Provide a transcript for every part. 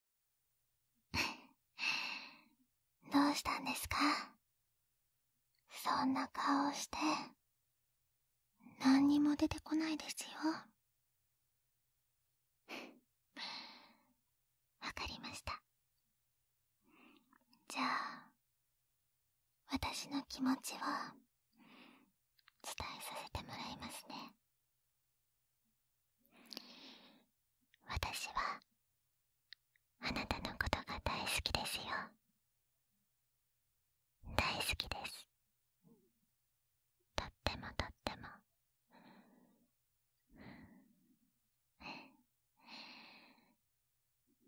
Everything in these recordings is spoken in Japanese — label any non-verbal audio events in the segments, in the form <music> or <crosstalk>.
<laughs> どうしたんですかそんな顔をして何にも出てこないですよ <laughs> わかりましたじゃあ私の気持ちを伝えさせてもらいますね私はあなたのことが大好きですよ大好きですとってもとっても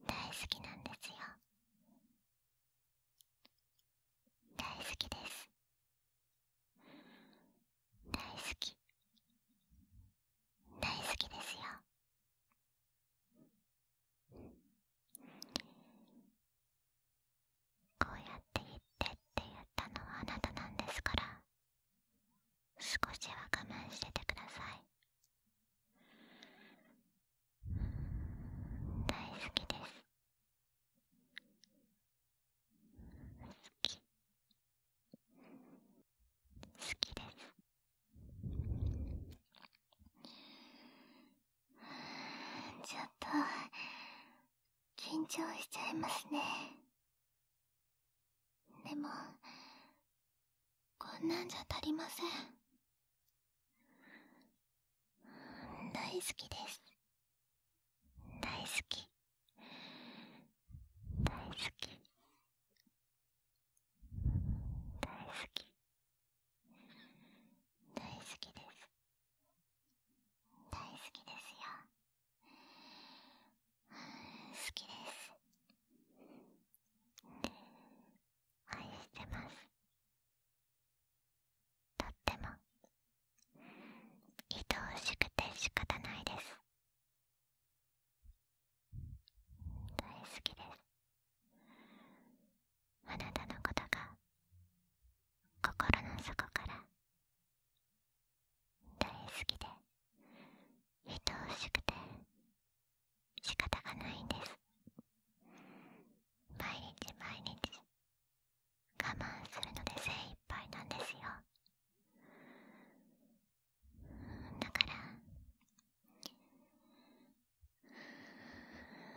大好きなんですよ大好きです大好き大好きですよこうやって言ってって言ったのはあなたなんですから少しは我慢しててください大好きです好き好きですちょっと緊張しちゃいますねでもこんなんじゃ足りません大好きです大好き大好き大好き大好きです大好きですよ好きです愛してますとっても愛おしくて仕方ないです大好きですあなたのことが心の底から大好きで愛おしくて仕方がないんです毎日毎日我慢するので精一杯なんですよだから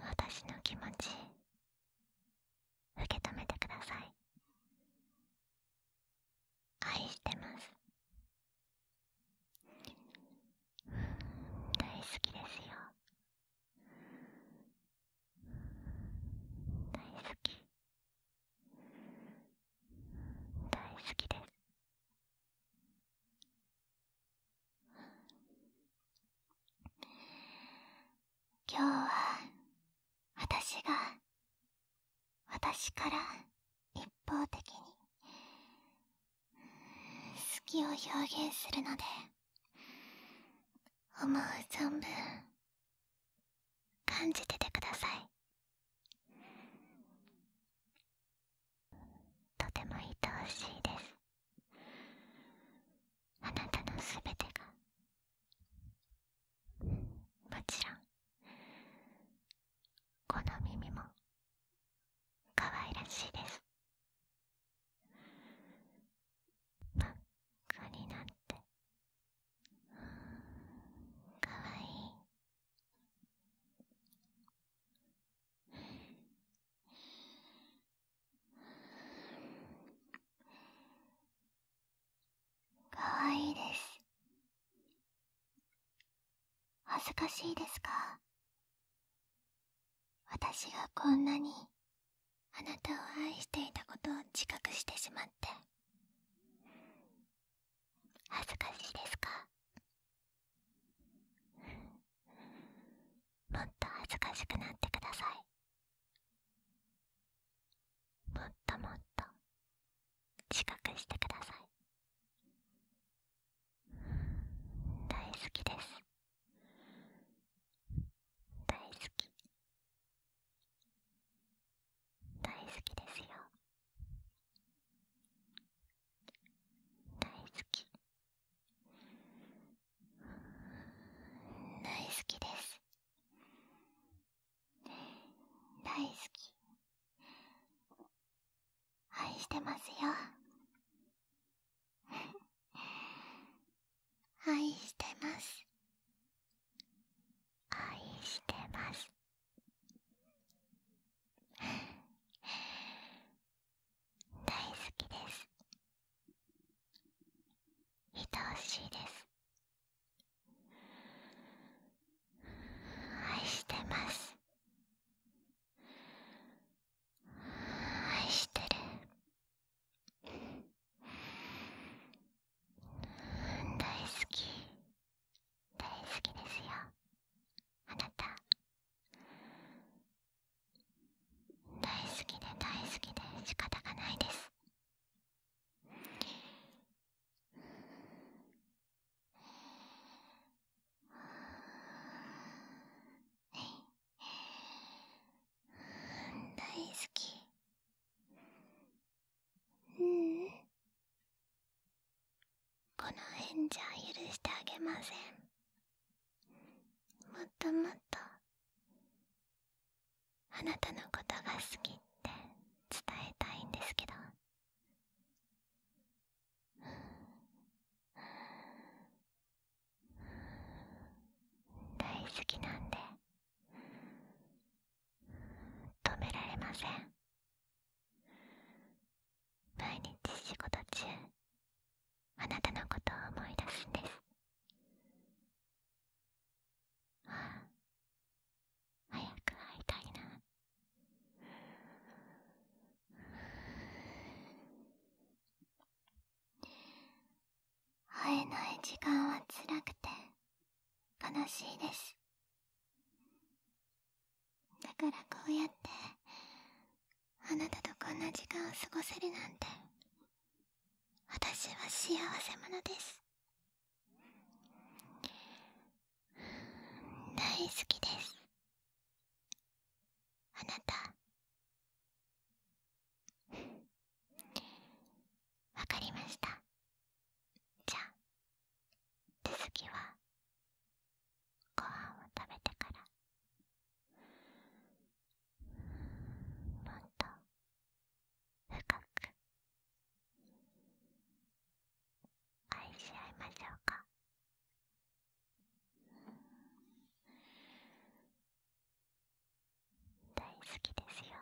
私の気持ち受け止めてください愛してます大好きですよ大好き大好きです今日は私が私から一方的に好きを表現するので思う存分感じててくださいとても愛おしいですあなたのすべてがもちろんこの耳も可愛らしいです真っ赤になってかわいいかわいいです恥ずかしいですか私がこんなにあなたを愛していたことを自覚してしまって恥ずかしいですかもっと恥ずかしくなってくださいもっともっと自覚してください大好きです大好き大好きですよ大好き大好きです大好き愛してますよ愛してます愛してます大好きです愛おしいです愛してます愛してる大好き大好きですよあなた大好きで大好きで仕方がないです大好きうんこの辺じゃ許してあげませんもっともっとあなたのことが好きって伝えたいんですけど大好きなんで止められません毎日仕事中あなたのことを思い出すんですああ早く会いたいな会えない時間は辛くて悲しいですだからこうやってあなたとこんな時間を過ごせるなんて私は幸せ者です大好きですあなたわかりましたじゃあ続きはご飯を食べてからもっと深く愛し合いましょうか大好きですよ。